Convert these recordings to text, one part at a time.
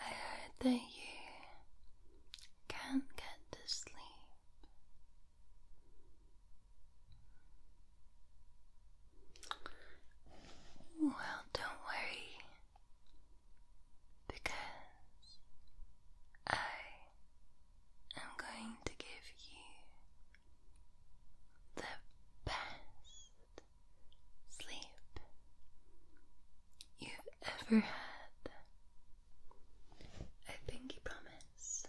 I heard that you can't get to sleep. Well, don't worry because I am going to give you the best sleep you've ever had. I think you promise.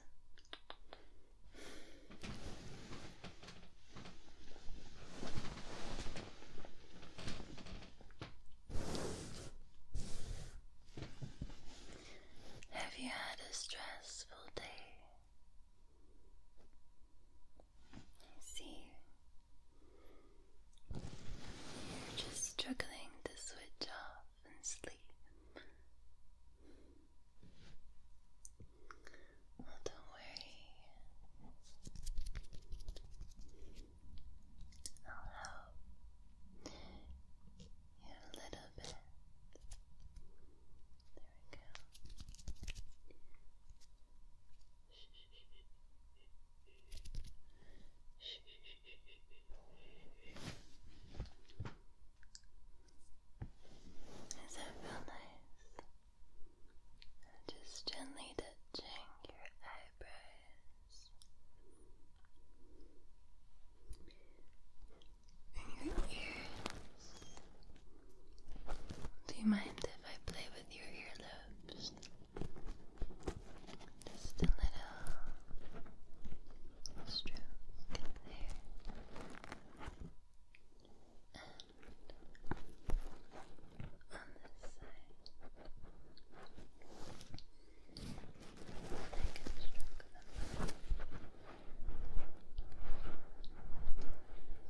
Have you had a stressful day? I see. You're just struggling to switch off and sleep. Well, don't worry. I'll help you a little bit. There we that feel nice? just gently touching your eyebrows in your ears. Do you mind if I play with your earlobes? Just a little stroke there. on this side, I can stroke them.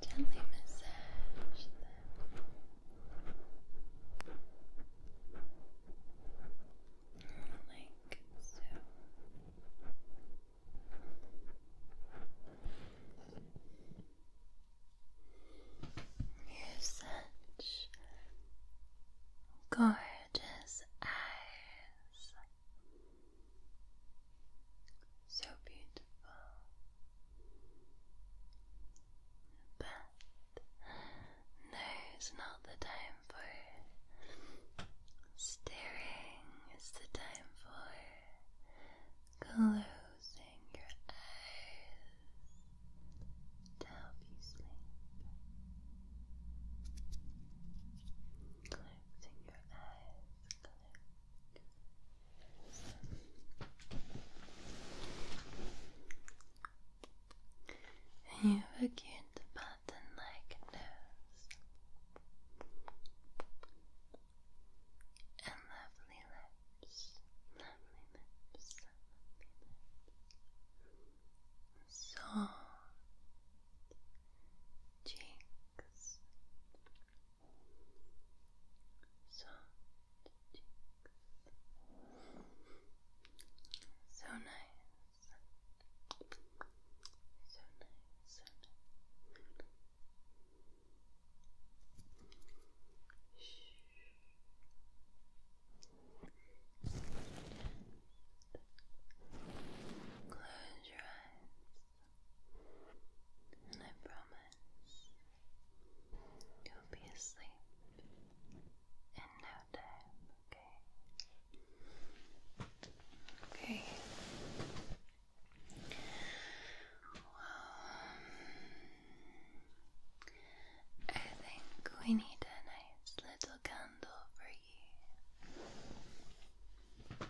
Gently massage them. Like so. You're such gorgeous eyes. So beautiful. But now's not the time for staring, it's the time for closing your eyes to help you sleep. Closing your eyes you have a cute button like nose and lovely lips, lovely lips, lovely lips, soft cheeks soft So nice. So nice, so nice. Shh. close your eyes. And I promise you'll be asleep in no time, okay? Okay. Well, I think we need a nice little candle for you. I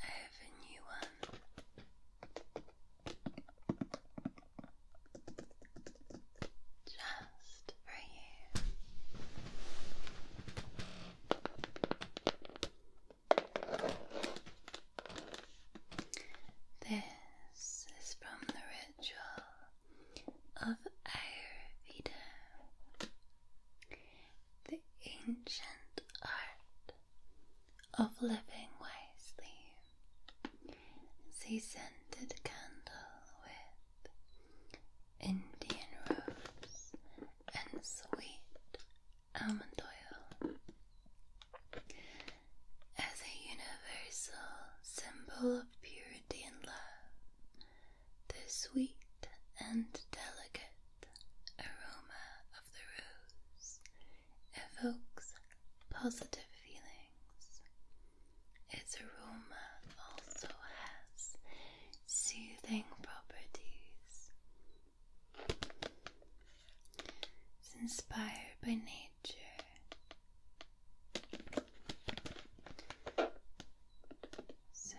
have a new one just for you. This is from the ritual of Ayurveda, the ancient art of living wisely. It's a scented candle with Indian rose and sweet almond oil as a universal symbol of purity and love. The sweet and delicate aroma of the rose evokes positive feelings. Its aroma also has soothing properties. It's inspired by nature J. So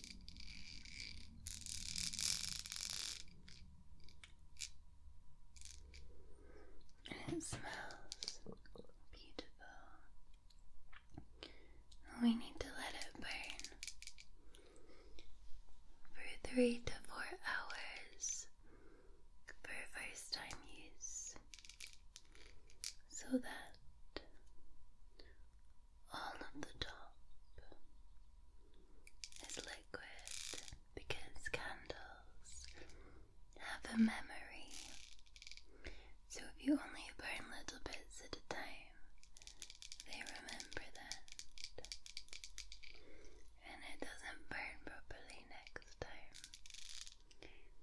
it smells beautiful. We need to let it burn for three to four hours for first time use so that all of the top is liquid because candles have a memory. So if you only burn little bits at a time, they remember that. And it doesn't burn properly next time.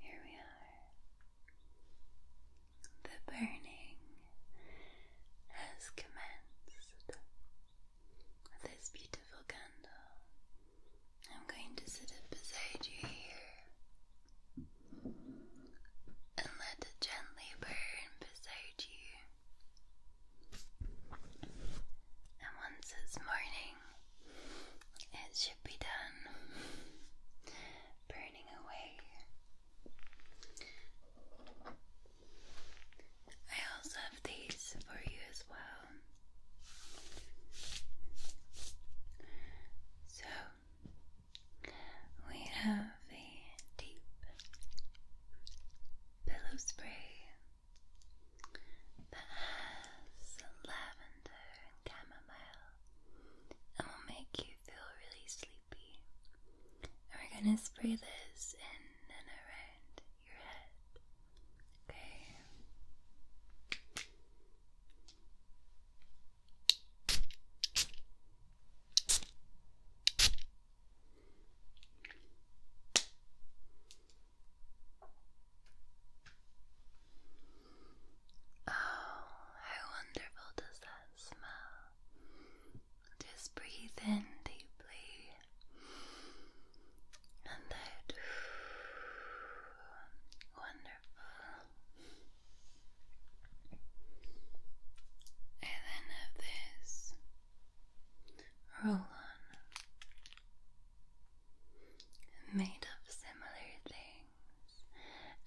Here we are. The burning has commenced. this beautiful candle, I'm going to sit it beside you here and let it gently burn beside you. And once it's morning, it should be done burning away. I also have these for you as well. So we have a deep pillow spray that has lavender and chamomile and will make you feel really sleepy. And we're gonna spray this in and around your head. Okay. Oh, how wonderful does that smell? Just breathe in deeply and out wonderful. I then have this roll on made of similar things,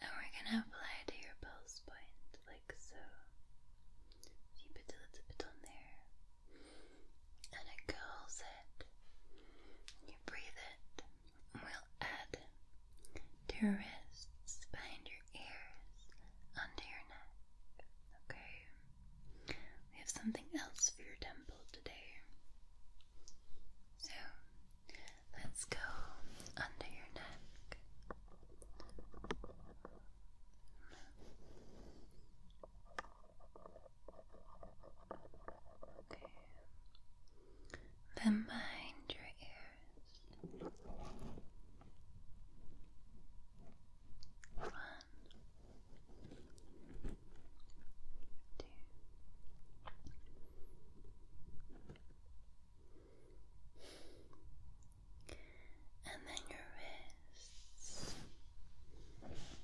and we're gonna apply to your pulse point like so. a little bit on there, and it curls it. You breathe it will add to your behind your ears, under your neck. Okay? We have something else for your temple today. So, let's go under your neck. Okay. Then behind your ears. One, two, and then your wrists. One,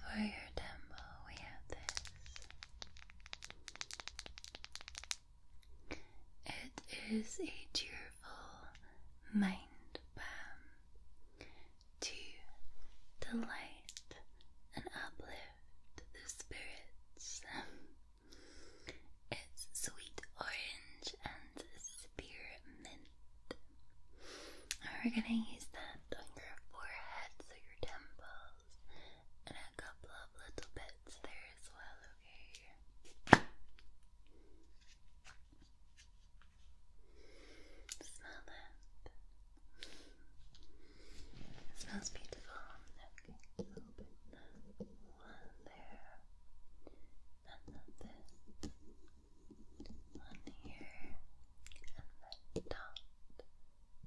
for your temple, we have this. It is a cheerful mind balm to delight and uplift to the spirits. It's sweet orange and spearmint. We're gonna use that on your forehead, so your temples, and a couple of little bits there as well, okay? Smell that. It smells beautiful. Okay, One there. And One here. And then dot,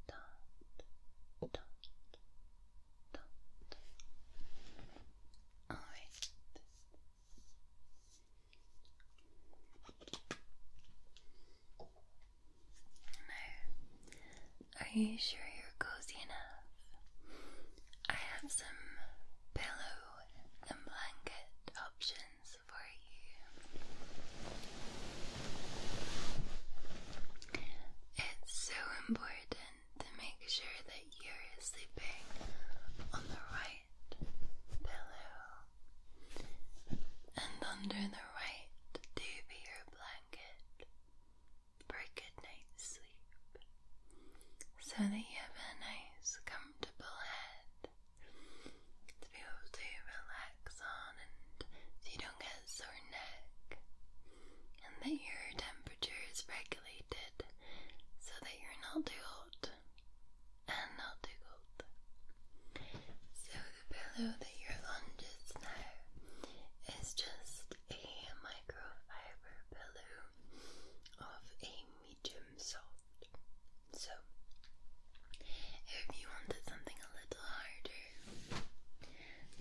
dot, dot, dot. Alright. No. Are you sure you're cozy enough? I have some pillow and blanket options for you. It's so important to make sure that you're sleeping on the right pillow and under the right dubier blanket for a good night's sleep, so that you have a nice, comfortable head to be able to relax on, and so you don't get sore neck, and that your temperature is regulated so that you're not too hot and not too cold. So the pillow that you're on just now is just a microfiber pillow of a medium soft. So if you wanted something a little harder,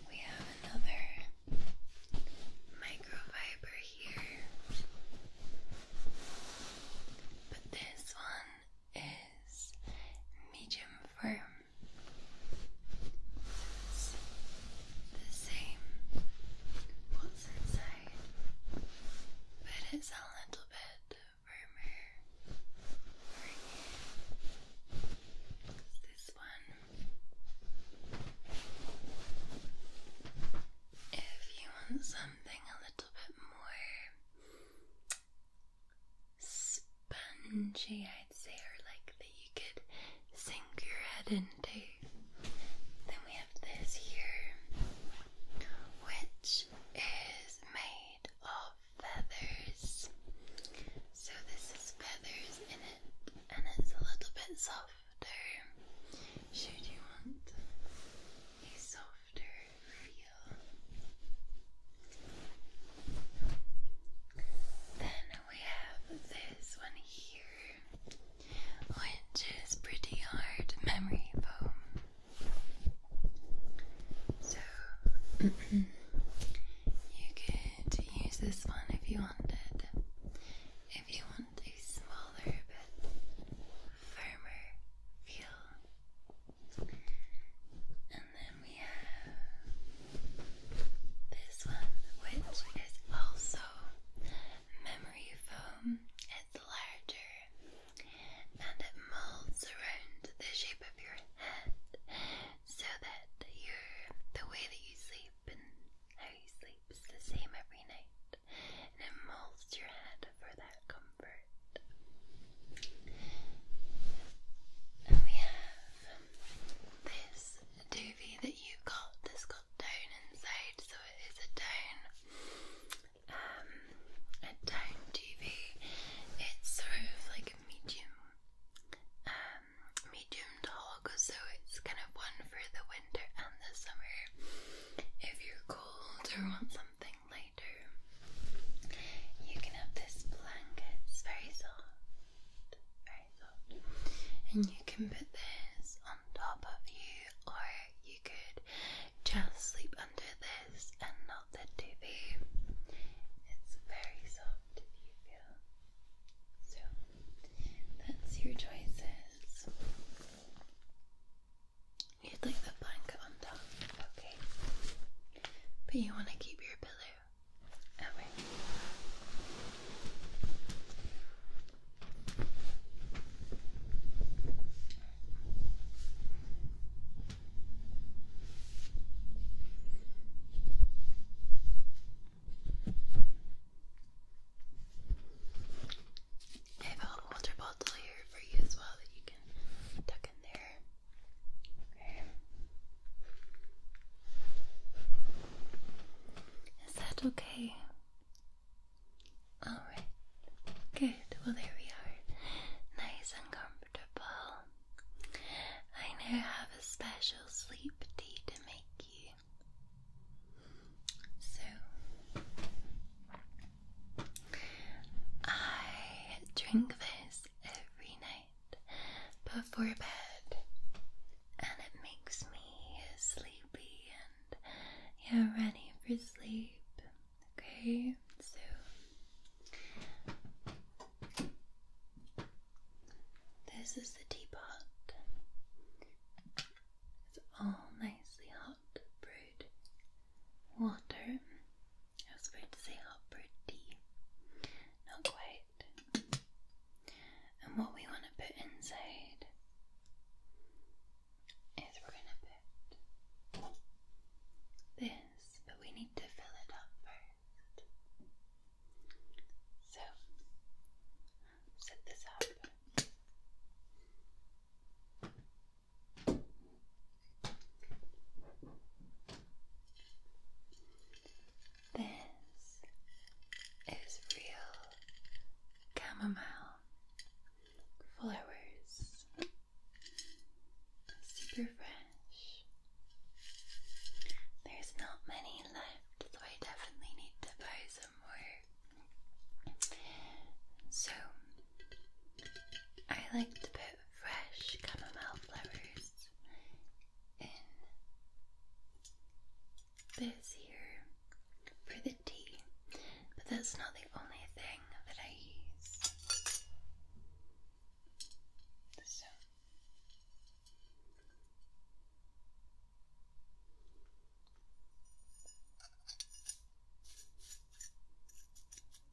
we have another microfiber here. But this one is medium firm. It's the same what's inside, but it's a little bit firmer for you. This one, if you want something a little bit more spongy, I'd say, or like that you could sink your head into. Then we have this here, which is made of feathers. So this is feathers in it, and it's a little bit softer. Should you want a soft then we have this one here, which is pretty hard memory foam. So you could use this one if you wanted. If you want a smaller but firmer feel. And then we have this one, which is also memory foam. It's larger and it molds around the shape of your head so that your the way that you sleep and how you sleep is the same every night. it molds your head for we have this doobie that you got that's got tone inside, so it is a tone, um, a tone doobie. It's sort of like a medium, um, medium dog, so it's kind of one for the winter and the summer. If you're cold or want something like you can have this blanket, it's very soft, very soft. And you can put this on top of you, or you could just sleep under this and not the TV. It's very soft if you feel. So, that's your choices. You'd like the blanket on top, okay? But you want to keep your pillow away. If hot bottle here Is that okay? Alright. Good. Well, there we are. Nice and comfortable. I now have a special sleep tea to make you. So, I drink this every night before bed, and it makes me sleepy and ready for sleep. Okay, so. This is the teapot. It's all nicely hot brewed water I was about to say how pretty. Not quite. And what we want to put inside is we're going to put this, but we need to fill it up first. So, set this up. This is real chamomile flowers, super fresh. There's not many left, so I definitely need to buy some more. So, I like to put fresh chamomile flowers in this here for the tea, but that's not the only thing that I use.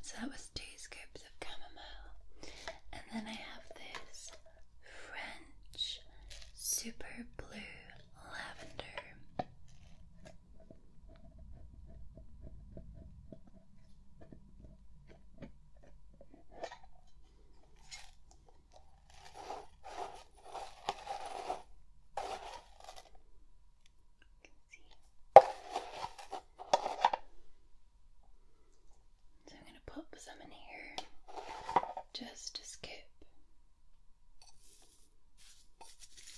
So that was two scoops of chamomile. And then I have this French super blue lavender. So I'm going to pop some in here just to scoop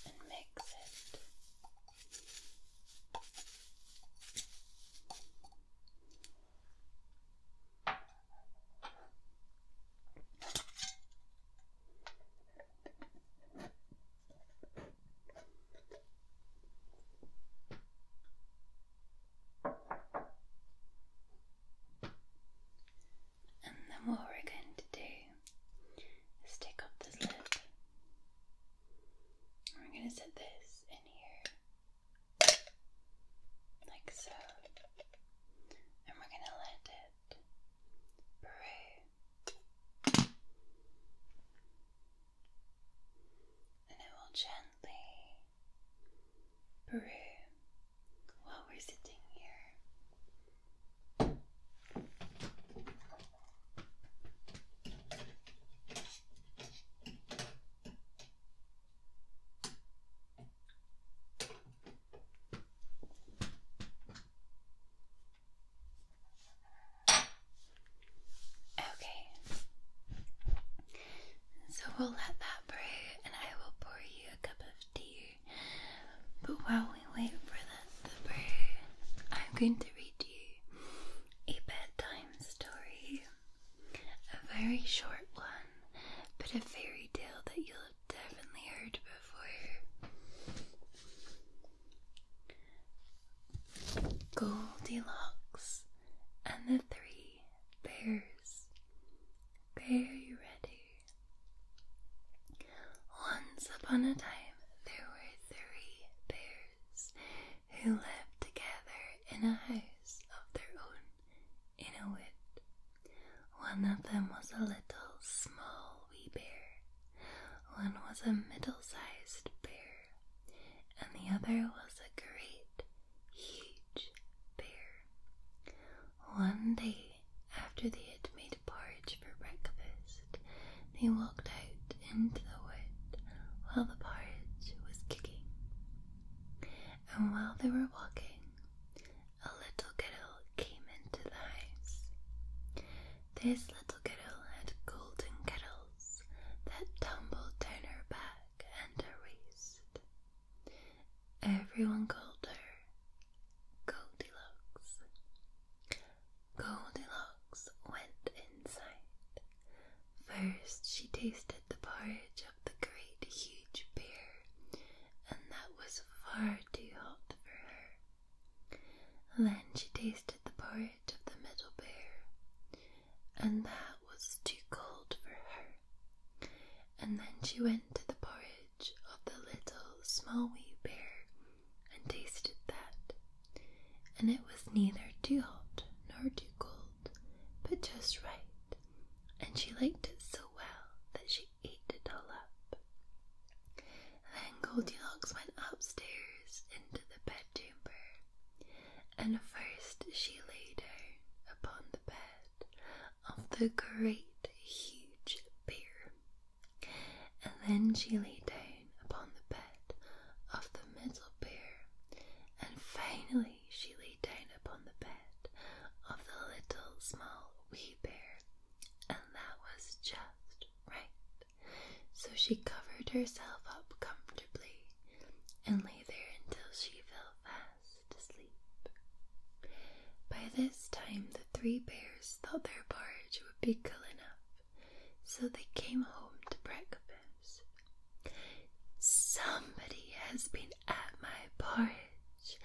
and mix it. And then what we're going to do is take off this lid. we're going to set this in here, like so. And we're going to let it brew, and it will gently brew while we're sitting here. Okay. So we'll let that brew and I will pour you a cup of tea. But while we wait for that to brew, I'm going to read you a bedtime story. A very short one, but a fairy tale that you'll definitely heard before. Goldilocks and the Three Bears. Very ready. Once upon a time, there were three bears who lived together in a house of their own in a wood. One of them was a little small wee bear, one was a middle sized bear, and the other was a great, huge bear. One day, after they had made porridge for breakfast, they walked out into the wood while the porridge was kicking. And while they were walking, a little girl came into the house. This little girl had golden kettles that tumbled down her back and her waist. Everyone called her Goldilocks. Goldilocks went inside. First, she tasted the porridge of the great huge bear, and that was far too hot for her. Then she tasted the porridge of the middle bear, and that was too cold for her. And then she went to the porridge of the little small wee bear and tasted that, and it was neither too hot nor too cold, but just right, and she liked it so well that she ate it all up. Then Goldilocks went upstairs into the bedchamber, and first she lay down upon the bed of the great huge bear, and then she lay down upon the bed of the middle bear, and finally she lay down upon the bed of the little small wee bear and that was just right. So she covered herself up comfortably and lay there until she fell fast asleep. By this time, the three bears thought their porridge would be cool enough, so they came home to breakfast. Somebody has been at my porridge,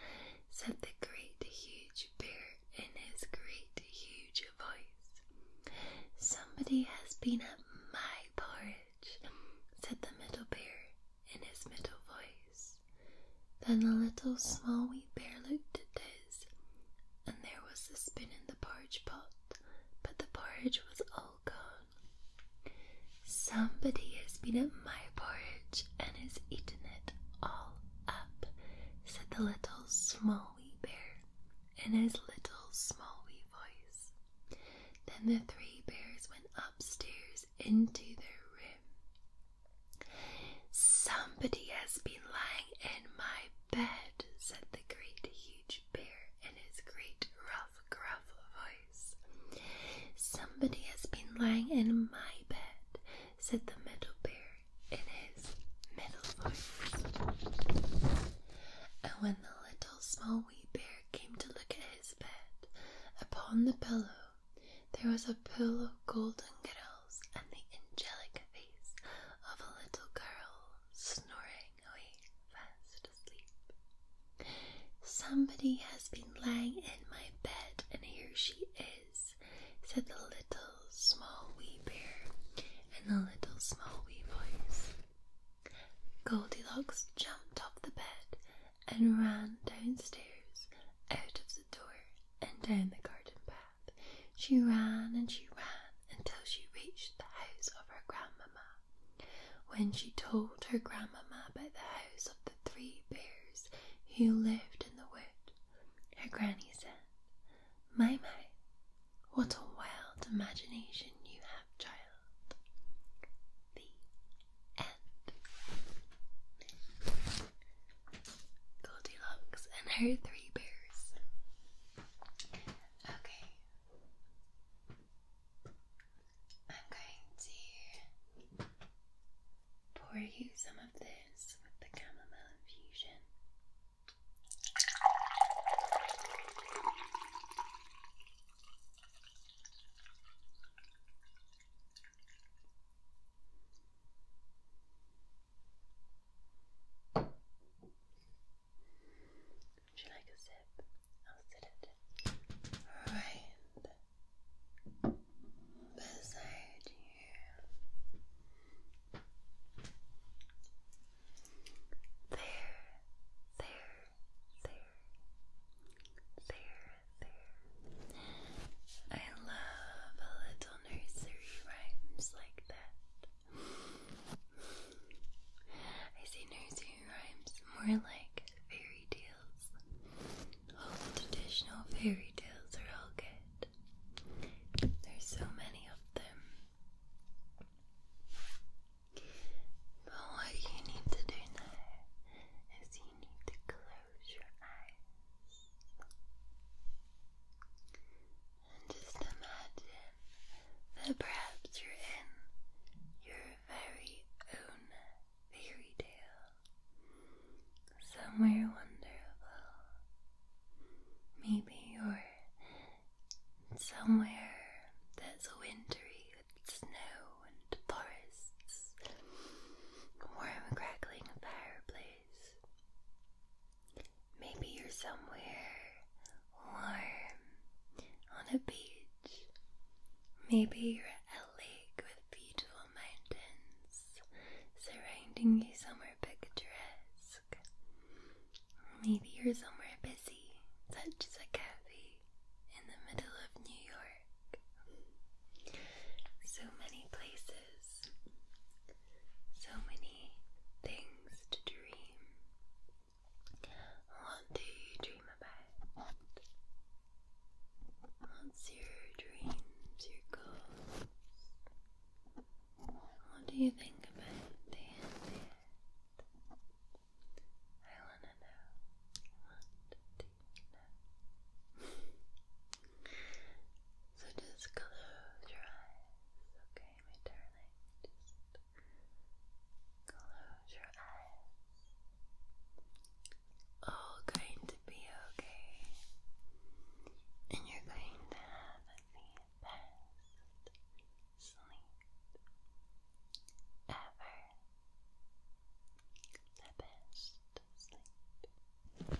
said the great huge bear in his great huge voice. Somebody has been at my porridge, said the middle bear in his middle voice. Then the little small wee bear looked at his, and there was a spin in the porridge pot, but the porridge was all gone. Somebody has been at my porridge, and has eaten it all up, said the little small wee bear in his little small wee voice. Then the three bears went upstairs into their room. Somebody has been lying in my bed, said the great huge bear in his great rough, gruff voice. Somebody has been lying in my bed, said the meadow bear in his middle voice. And when the little small wee bear came to look at his bed, upon the pillow there was a pillow of golden girls and the angelic face of a little girl snoring away fast asleep. Somebody has been lying in my bed, and here she is said the little small wee bear in a little small wee voice. Goldilocks jumped off the bed and ran downstairs, out of the door, and down the garden path. She ran and she ran until she reached the house of her grandmamma. When she told her grandmamma about the house of the three bears who lived in the wood, her granny said, My, what a wild imagination you have, child. The end. Goldilocks and her three bears. Okay. I'm going to pour you some of this with the chamomile infusion. Would you like a sip? I'll sit it. Right beside you. There, there, there, there, there. I love little nursery rhymes like that. I say nursery rhymes more like fairy tales. All the traditional fairy tales are all good. There's so many of them. But what you need to do now is you need to close your eyes and just imagine that perhaps you're in your very own fairy tale somewhere wonderful. Maybe you're somewhere that's wintry with snow and forests, warm crackling fireplace. Maybe you're somewhere warm on a beach. Maybe you're at a lake with beautiful mountains surrounding you somewhere picturesque. Maybe you're somewhere busy, such as a cafe in the middle of New York. So many places, so many things to dream. What do you dream about? What's your dreams, your goals? What do you think about the end yet? I wanna know? so just close your eyes, okay, my darling? Just close your eyes all going to be okay, and you're going to have the best sleep ever. The best sleep. ever.